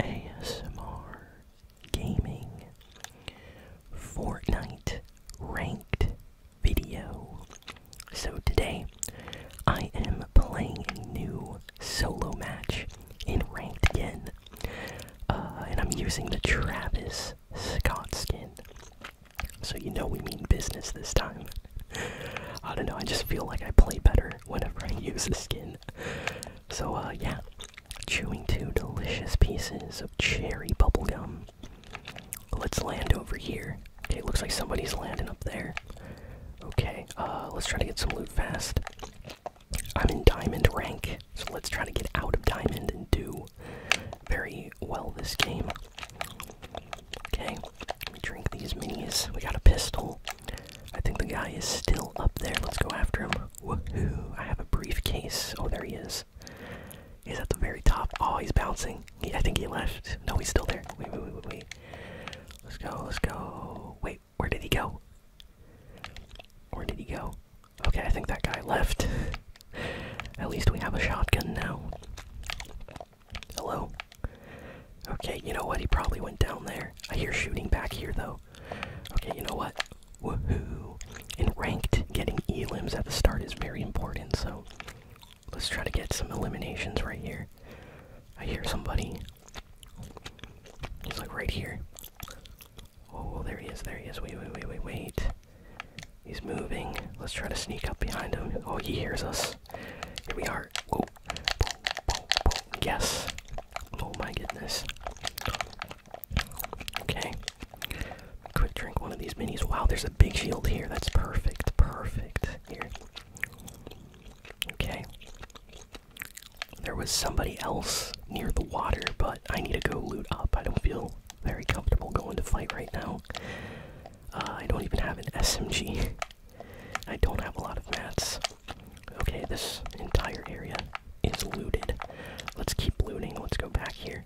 ASMR Gaming Fortnite Ranked Video. So today I am playing a new solo match in Ranked again. Uh, and I'm using the Travis Scott skin. So you know we mean business this time. I don't know, I just feel like I play better whenever I use the skin. So, uh, yeah. Chewing two delicious pieces of cherry bubblegum. Let's land over here. Okay, looks like somebody's landing up there. Okay, uh, let's try to get some loot fast. I'm in diamond rank, so let's try to get out of diamond and do very well this game. Okay, let me drink these minis. We got a pistol. I think the guy is still up there. Let's go after him. Woohoo! I have a briefcase. Oh, there he is. He's at the very top. Oh, he's bouncing. I think he left. No, he's still there. wait, wait, wait, wait. Let's go, let's go. Wait, where did he go? Where did he go? Okay, I think that guy left. At least we have a shotgun now. Hello? Okay, you know what? He probably went down there. I hear shooting back here, though. Okay, you know what? Woohoo! In ranked, getting elims at the start is very important, so let's try to get some eliminations right here. I hear somebody. He's like right here. Oh, there he is, there he is. Wait, wait, wait, wait, wait. He's moving. Let's try to sneak up behind him. Oh, he hears us. Here we are heart. Yes. Oh my goodness. Okay. Quick drink one of these minis. Wow, there's a big shield here. That's perfect. Perfect. Here. Okay. There was somebody else near the water, but I need to go loot up. I don't feel very comfortable going to fight right now. Uh, I don't even have an SMG. I don't have a lot of mats. Okay, this entire area is looted. Let's keep looting. Let's go back here.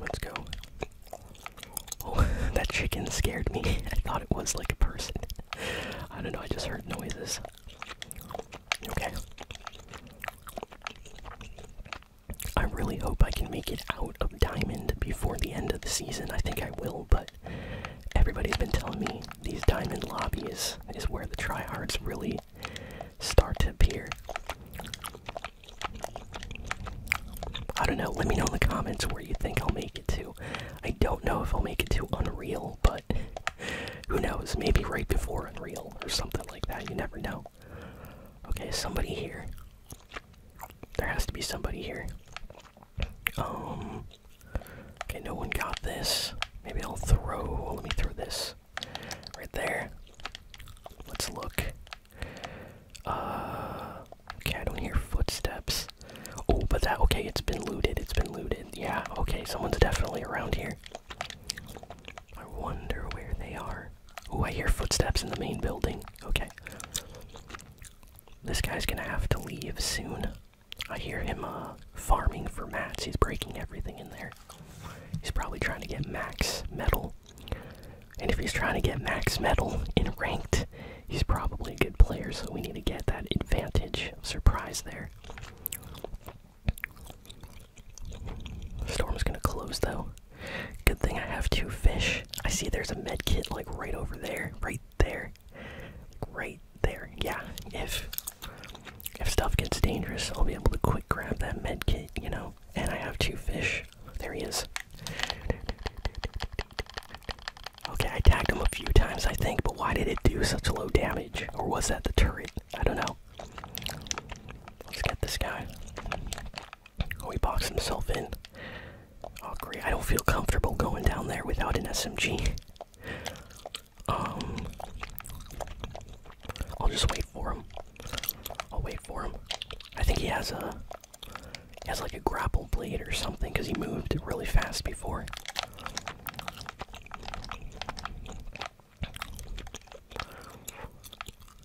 Let's go. Oh, that chicken scared me. I thought it was like a person. I don't know, I just heard noises. Okay. I really hope I can make it out of Diamond before the end of the season. I think I will, but everybody's been telling me these diamond lobbies is where the tryhards really start to appear. I don't know, let me know in the comments where you think I'll make it to. I don't know if I'll make it to Unreal, but who knows, maybe right before Unreal or something like that, you never know. Okay, somebody here. There has to be somebody here. Um. Okay, no one got this. Maybe I'll throw. Let me throw this right there. Let's look. Uh. Okay, I don't hear footsteps. Oh, but that. Okay, it's been looted. It's been looted. Yeah. Okay, someone's definitely around here. I wonder where they are. Oh, I hear footsteps in the main building. Okay. This guy's gonna have to leave soon. I hear him uh, farming for mats. He's breaking everything in there. He's probably trying to get max metal. And if he's trying to get max metal in ranked, he's probably a good player, so we need to get that advantage surprise there. Storm's gonna close though. Good thing I have two fish. I see there's a med kit like right over there, right there. Right there. Yeah. If if stuff gets dangerous, I'll be able to quick grab that med kit, you know? And I have two fish. There he is. Okay, I tagged him a few times, I think, but why did it do such low damage? Or was that the turret? I don't know. Let's get this guy. Oh, he boxed himself in. Oh great, I don't feel comfortable going down there without an SMG. Um I'll just wait for him. I'll wait for him. I think he has a he has like a grapple blade or something because he moved really fast before.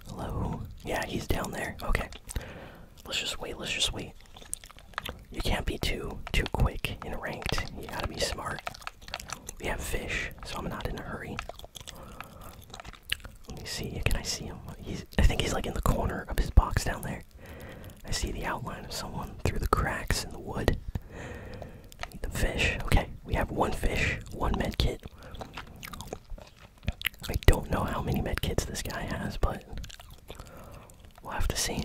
Hello? Yeah, he's down there. Okay. Let's just wait, let's just wait you can't be too too quick in ranked. You gotta be smart. We have fish, so I'm not in a hurry. Let me see. Can I see him? I think he's like in the corner of his box down there. I see the outline of someone through the cracks in the wood. the fish. Okay, we have one fish, one med kit. I don't know how many med kits this guy has, but We'll have to see.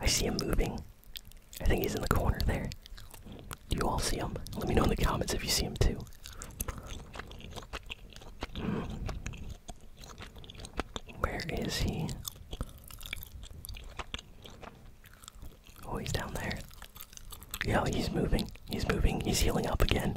I see him moving. I think he's in the corner there. Do you all see him? Let me know in the comments if you see him too. Where is he? Oh, he's down there. Yeah, he's moving. He's moving. He's healing up again.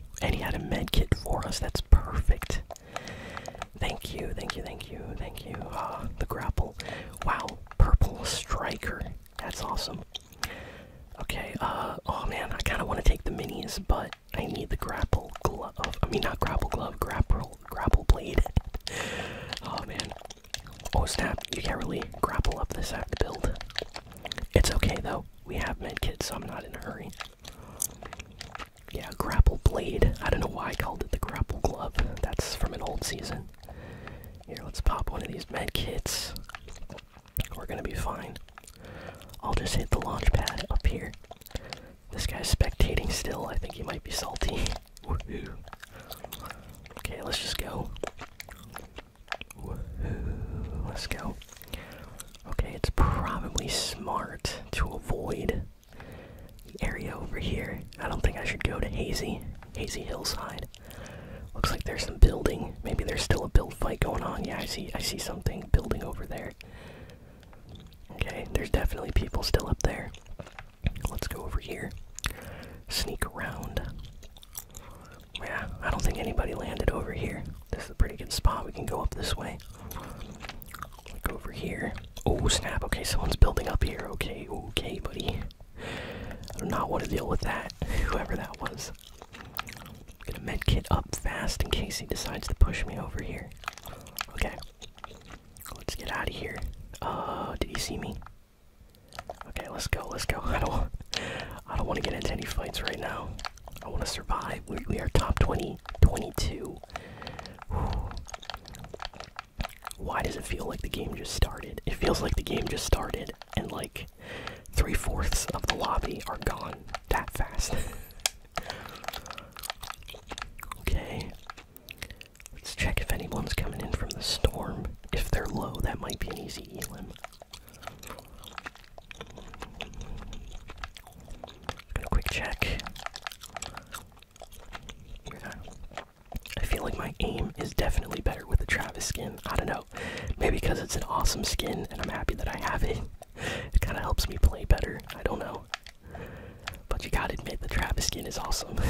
And he had a med kit for us. That's perfect. Thank you, thank you, thank you, thank you. Ah, the grapple. Wow, purple striker. That's awesome. Okay, uh, oh man, I kind of want to take the minis, but I need the grapple glove. I mean, not grapple glove, grapple, grapple blade. oh man. Oh snap, you can't really grapple up this act build. It's okay though, we have med kit, so I'm not in a hurry. Yeah, grapple blade. I don't know why I called it the grapple glove. That's from an old season. Here, let's pop one of these med kits. We're gonna be fine. I'll just hit the launch pad up here. This guy's spectating still. I think he might be salty. Okay, let's just go. Let's go. Okay, it's probably smart to avoid the area over here. I don't think I should go to Hazy, Hazy Hillside. Looks like there's some building. Maybe there's still a build fight going on. Yeah, I see I see something building over there. Okay, there's definitely people still up there. Let's go over here. Sneak around. Yeah, I don't think anybody landed over here. This is a pretty good spot. We can go up this way. Like over here. Oh, snap. Okay, someone's building up here. Okay, okay, buddy. I do not want to deal with that, whoever that was. Get a med kit up fast in case he decides to push me over here. Okay. Let's get out of here. Oh, did he see me? Okay, let's go, let's go. I don't, I don't want to get into any fights right now. I want to survive. We, are top 20, 22. Why does it feel like the game just started? It feels like the game just started, and like three fourths of the lobby are gone that fast. okay. Let's check if anyone's coming in from the storm. If they're low, that might be an easy elim quick check. I feel like my aim is definitely better with the Travis skin. I don't know. Maybe because it's an awesome skin and I'm happy that I have it. It kind of helps me play better. I don't know. But you gotta admit, the Travis skin is awesome.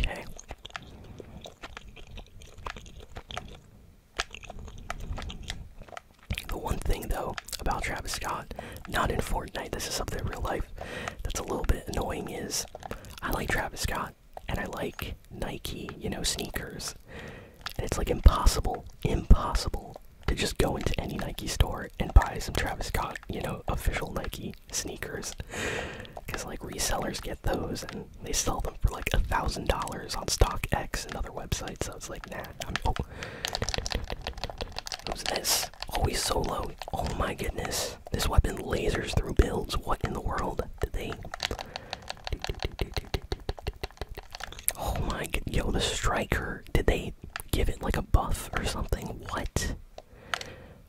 Okay. The one thing though about Travis Scott, not in Fortnite, this is something in real life that's a little bit annoying is I like Travis Scott and I like Nike, you know, sneakers. And it's like impossible, impossible to just go into any Nike store and buy some Travis Scott, you know, official Nike sneakers. Because like resellers get those and and they sell them for like a thousand dollars on StockX and other websites. So it's like, nah. I'm, oh, what's this? Always so low. Oh my goodness, this weapon lasers through builds. What in the world did they? Oh my god, yo, the striker. Did they give it like a buff or something? What?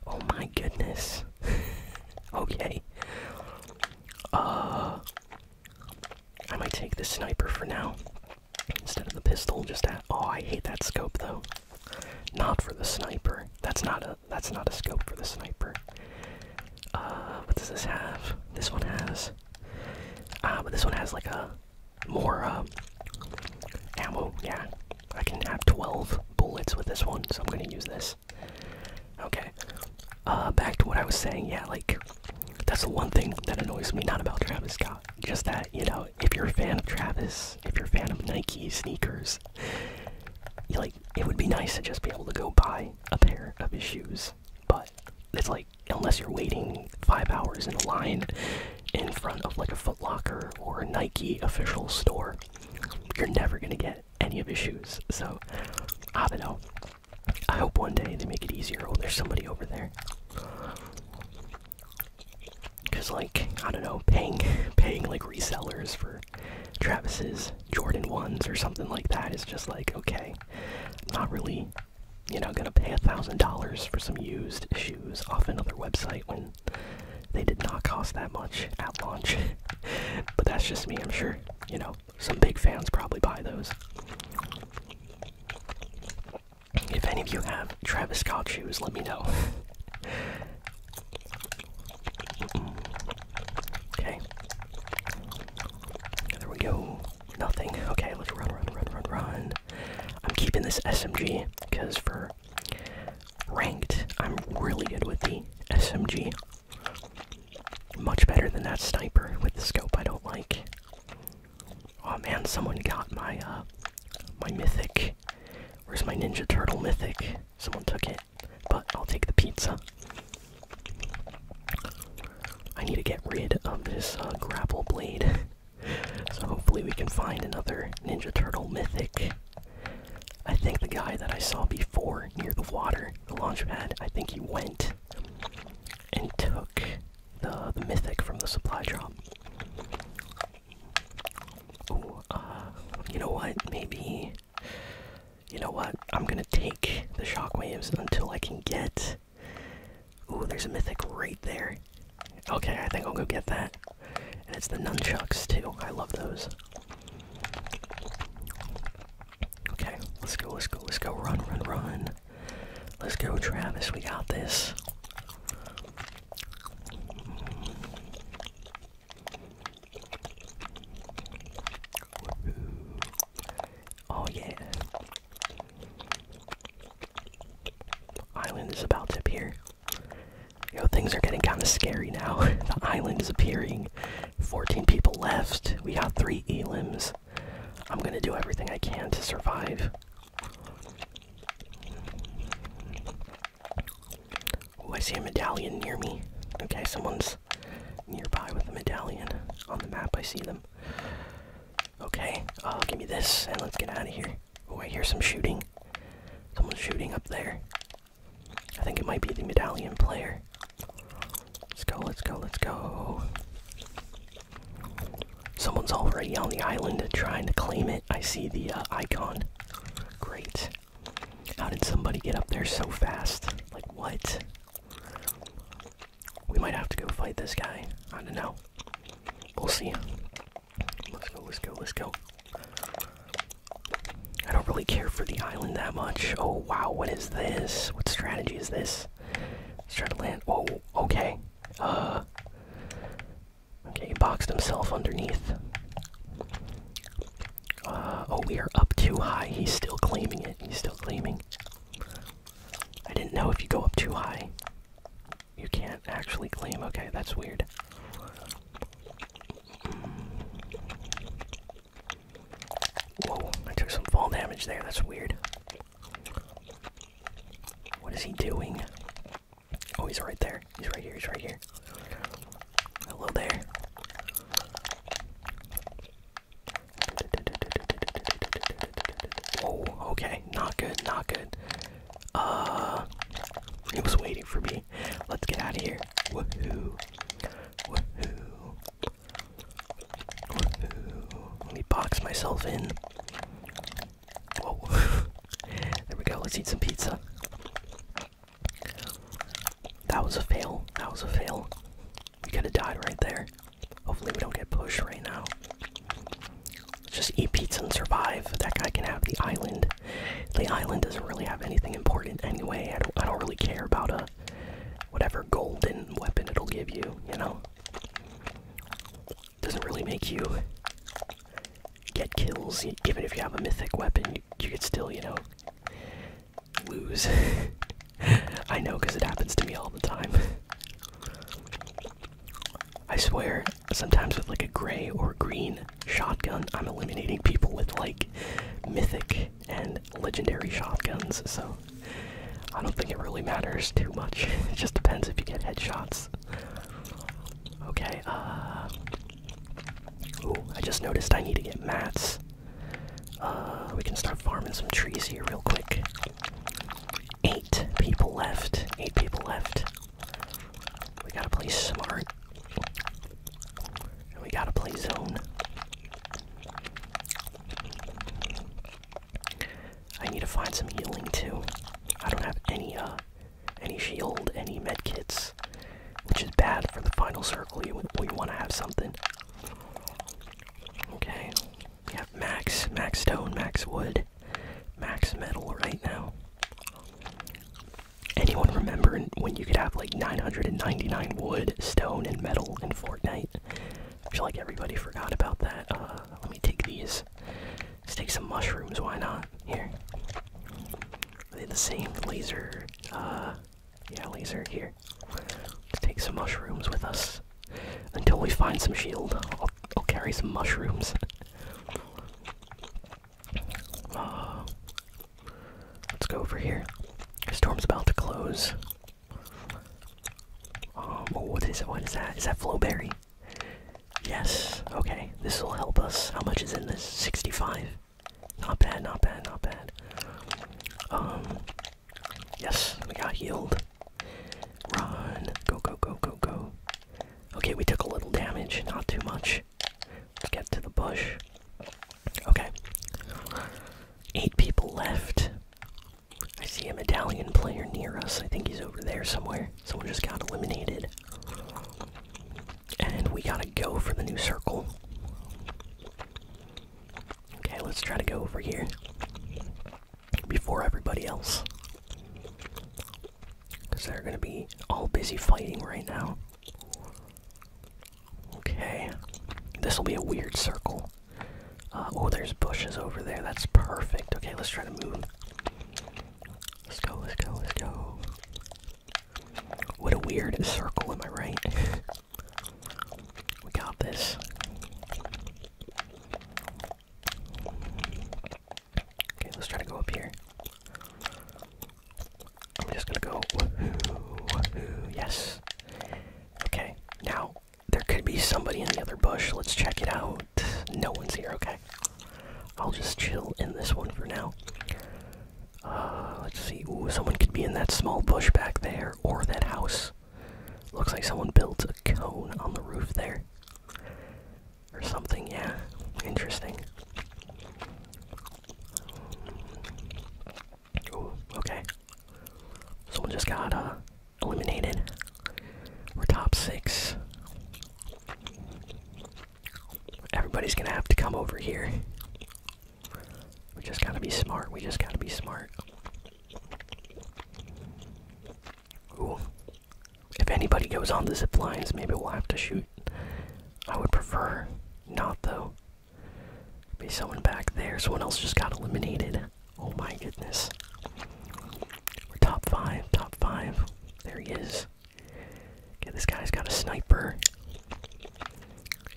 Oh my goodness. okay. Uh, I might take the sniper for now instead of the pistol. Just at oh, I hate that scope though. Not for the sniper. That's not a that's not a scope for the sniper. Uh, what does this have? This one has. uh, but this one has like a more uh ammo. Yeah, I can have twelve bullets with this one, so I'm gonna use this. Okay. Uh, back to what I was saying. Yeah, like that's the one thing that annoys me not about Travis Scott. Just that you know, if you're a fan of Travis, if you're a fan of Nike sneakers, like it would be nice to just be able to go buy a pair of his shoes. But it's like unless you're waiting five hours in a line in front of like a Foot Locker or a Nike official store, you're never gonna get any of his shoes. So I don't know. I hope one day they make it easier. Oh, there's somebody over there. Cause like I don't know, paying paying like resellers for Travis's Jordan ones or something like that is just like okay, not really. You know, gonna pay a thousand dollars for some used shoes off another website when they did not cost that much at launch, but that's just me, I'm sure. You know, some big fans probably buy those. If any of you have Travis Scott shoes, let me know. okay. There we go. Nothing. Okay, let's run, run, run, run, run. I'm keeping this SMG because for ranked, I'm really good with the SMG. Much better than that sniper with the scope I don't like. Oh man, someone got my uh, my mythic. Where's my Ninja Turtle mythic? Someone took it, but I'll take the pizza. I need to get rid of this uh, grapple blade. so hopefully we can find another Ninja Turtle mythic. I think the guy that I saw before near the water, the launch pad, I think he went and took the the mythic from the supply drop. Ooh, uh, you know what? Maybe. You know what? I'm gonna take the shockwaves until I can get. Ooh, there's a mythic right there. Okay, I think I'll go get that. And it's the nunchucks too. I love those. Okay, let's go, let's go, let's go. Run, run, run. Let's go, Travis. We got this. Oh, yeah. Island is about to appear. Yo, things are getting kind of scary now. the island is appearing. 14 people left. We got three elims. I'm gonna do everything I can to survive. Oh, I see a medallion near me. Okay, someone's nearby with a medallion. On the map, I see them. Okay, uh, give me this and let's get out of here. Oh, I hear some shooting. Someone's shooting up there. I think it might be the medallion player. Let's go, let's go, let's go. Someone's already on the island trying to claim it. I see the uh, icon. Great. How did somebody get up there so fast? Like, what? We might have to go fight this guy. I don't know. We'll see. Let's go, let's go, let's go. I don't really care for the island that much. Oh wow, what is this? What strategy is this? Let's try to land. Oh, okay. Uh. Okay, he boxed himself underneath. Uh, oh, we are up too high. He's still claiming it. He's still claiming. I didn't know if you go up too high, you can't actually claim. Okay, that's weird. Whoa, I took some fall damage there. That's weird. What is he doing? Oh, he's right there. He's right here. He's right here. Hello there. Oh, okay. Not good. Not good. Uh, he was waiting for me. Alright, let's get out of here. Woohoo! Woohoo! Woohoo! Let me box myself in. Whoa. there we go, let's eat some pizza. That was a fail. That was a fail. We could have died right there. Hopefully, we don't get pushed right now. Let's just eat pizza and survive. That guy can have the island the island doesn't really have anything important anyway. I don't, really care about a uh, whatever golden weapon it'll give you, you know? Doesn't really make you get kills. Even if you have a mythic weapon, you, you could still, you know, lose. I know because it happens to me all the time. I swear, sometimes with like a gray or green shotgun. I'm eliminating people with like mythic and legendary shotguns, so I don't think it really matters too much. it just depends if you get headshots. Okay, uh. Ooh, I just noticed I need to get mats. Uh, we can start farming some trees here real quick. Eight people left. Eight people left. We gotta play smart. And we gotta play zone. I need to find some healing too. I don't have any uh any shield, any med kits, which is bad for the final circle. You we want to have something. Okay, we have max, max stone, max wood, max metal right now. Anyone remember when you could have like 999 wood, stone, and metal in Fortnite? I feel like everybody forgot about that. Uh, let me take these. Let's take some mushrooms, why not? Here. Are they the same laser? Uh, yeah, laser here. Let's take some mushrooms with us. Until we find some shield, I'll carry some mushrooms let's go over here. Storm's about to close. Um, oh, what is it? What is that? Is that Flowberry? Yes. Okay, this will help us. How much is in this? 65. Not bad, not bad, not bad. Um, yes, we got healed. Run. Go, go, go, go, go. Okay, we took a little damage. Not too much get to the bush. Okay. Eight people left. I see a medallion player near us. I think he's over there somewhere. Someone just got eliminated. And we gotta go for the new circle. Okay, let's try to go over here. Before everybody else. Because they're gonna be all busy fighting right now. Okay. This will be a weird circle. Uh, oh, there's bushes over there. That's perfect. Okay, let's try to move. Let's go, let's go, let's go. What a weird circle, am I right? we got this. Okay, let's try to go up here. I'm just gonna go wahoo, wahoo, yes. Okay, now there could be somebody in the other bush. Let's check it out. No one's here, okay. I'll just chill in this one for now. Uh, let's see. Ooh, someone could be in that small bush back there, or that house. Looks like someone built a cone on the roof there or something. Yeah, interesting. Okay. So we just got uh, eliminated. We're top six. Everybody's gonna have to come over here. We just gotta be smart. We just gotta be smart. If anybody goes on the zip lines, maybe we'll have to shoot. I would prefer not, though. Be someone back there. Someone else just got eliminated. Oh my goodness. We're top five. Top five. There he is. Okay, this guy's got a sniper.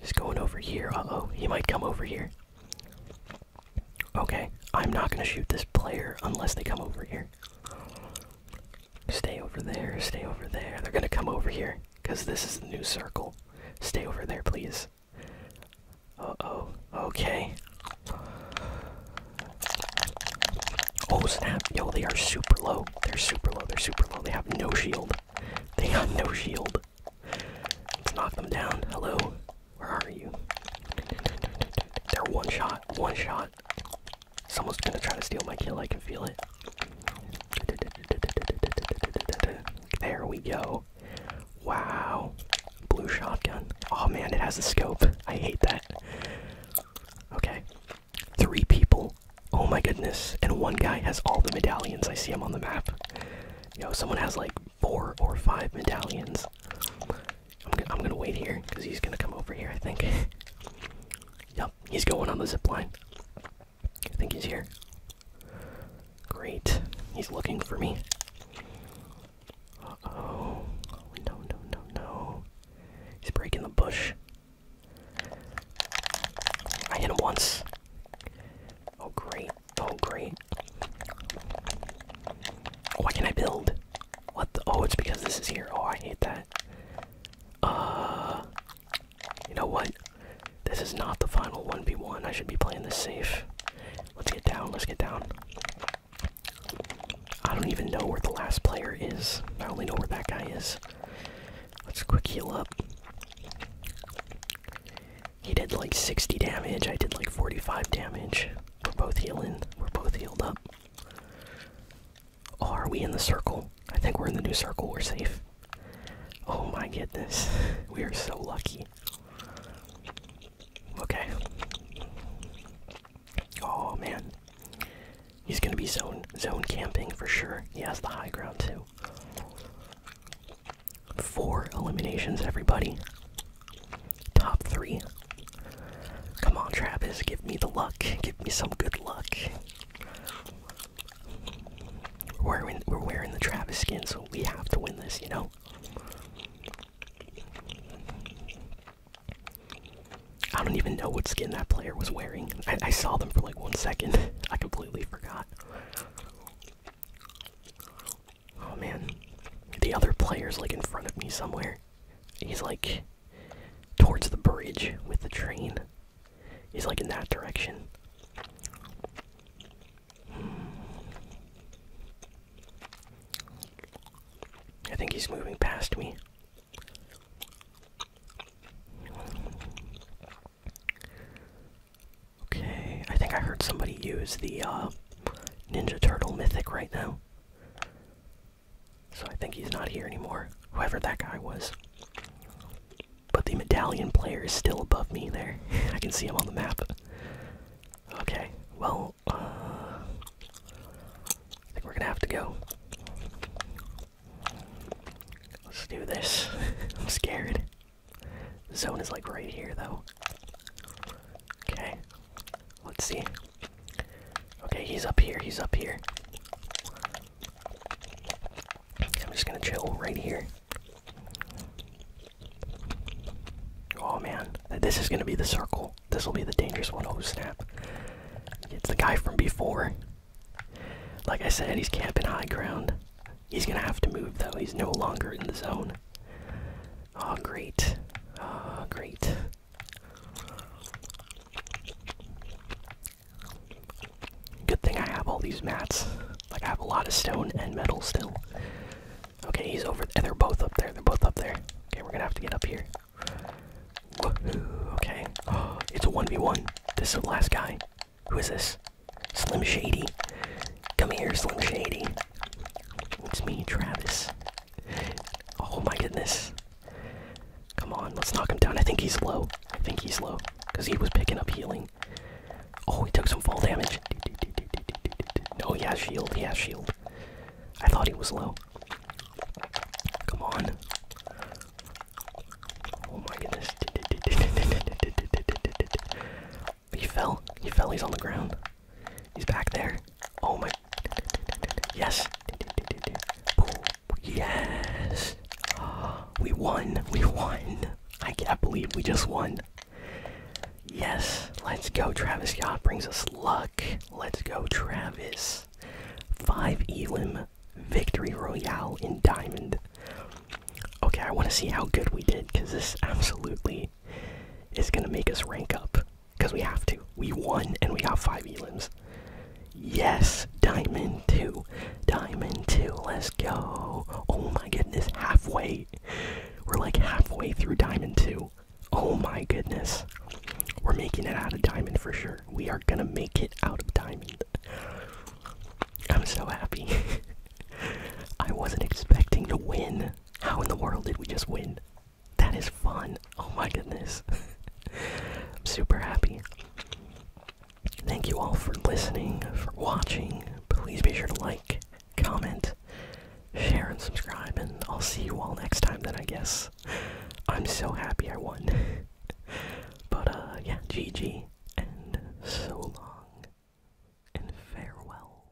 He's going over here. Uh oh, he might come over here. Okay, I'm not gonna shoot this player unless they come over here. Stay over there, stay over there. They're gonna come over here, because this is the new circle. Stay over there, please. Oh, oh, okay. Oh snap, yo, they are super low. They're super low, they're super low. They have no shield. They have no shield. Let's knock them down. Hello, where are you? They're one shot, one shot. Someone's gonna try to steal my kill, I can feel it. There we go. Wow. Blue shotgun. Oh man, it has a scope. I hate that. Okay. Three people. Oh my goodness. And one guy has all the medallions. I see him on the map. Yo, someone has like four or five medallions. I'm, gonna wait here because he's gonna come over here, I think. he's going on the zip line. I think he's here. Great. He's looking for me. Uh oh. No, no, no, no. He's breaking the bush. I hit him once. Oh, great. Oh, great. What can I build? What the? Oh, it's because this is here. Oh, I hate that. Uh, you know what? This is not the final 1v1. I should be playing this safe. Let's get down. Let's get down. I don't even know where the last player is. I only know where that guy is. Let's quick heal up. He did like 60 damage. I did like 45 damage. We're both healing. We're both healed up. Oh, are we in the circle? I think we're in the new circle. We're safe. Oh my goodness. We are so lucky. Okay. Oh man. He's gonna be zone zone camping for sure. He has the high ground too. Four eliminations, everybody. Top three. Come on, Travis, give me the luck. Give me some good luck. We're, wearing the Travis skin, so we have to win this, you know? I don't even know what skin that player was wearing. I saw them for like one second. I completely forgot. Oh man. The other player's like in front of me somewhere. He's like towards the bridge with the train. He's like in that direction. I think he's moving past me. Okay, I think I heard somebody use the uh, Ninja Turtle mythic right now. So I think he's not here anymore, whoever that guy was. But the medallion player is still above me there. I can see him on the map. Okay, well, uh, I think we're gonna have to go. Let's do this. I'm scared. The zone is like right here, though. Okay. Let's see. Okay, he's up here. He's up here. I'm just gonna chill right here. Oh man, this is gonna be the circle. This will be the dangerous one. Oh snap! It's the guy from before. Like I said, he's camping high ground. He's gonna have to move though. He's no longer in the zone. Oh great. Oh great. Good thing I have all these mats. Like, I have a lot of stone and metal still. Okay, he's over there. They're both up there. They're both up there. Okay, we're gonna have to get up here. Okay. Oh, it's a 1v1. This is the last guy. Who is this? Slim Shady. Come here, Slim Shady. It's me, Travis. Oh my goodness. Come on, let's knock him down. I think he's low. I think he's low. Because he was picking up healing. Oh, he took some fall damage. Oh, he has shield. He has shield. I thought he was low. Come on. Oh my goodness. He fell. He fell. He's on the ground. He's back there. Oh my Yes. Yes. We won. We won. I can't believe we just won. Yes. Let's go. Travis Scott brings us luck. Let's go, Travis. 5 Elim Victory Royale in Diamond. Okay, I want to see how good we did because this absolutely is going to make us rank up. Because we have to. We won and we got five elims. Yes, diamond two. Diamond two, let's go. Oh my goodness, halfway. We're like halfway through diamond two. Oh my goodness. We're making it out of diamond for sure. We are gonna make it out of diamond. I'm so happy. I wasn't expecting to win. How in the world did we just win? That is fun. Oh my goodness. I'm super happy. Thank you all for listening, for watching. Please be sure to like, comment, share, and subscribe, and I'll see you all next time then, I guess. I'm so happy I won. but, uh, yeah, GG, and so long, and farewell.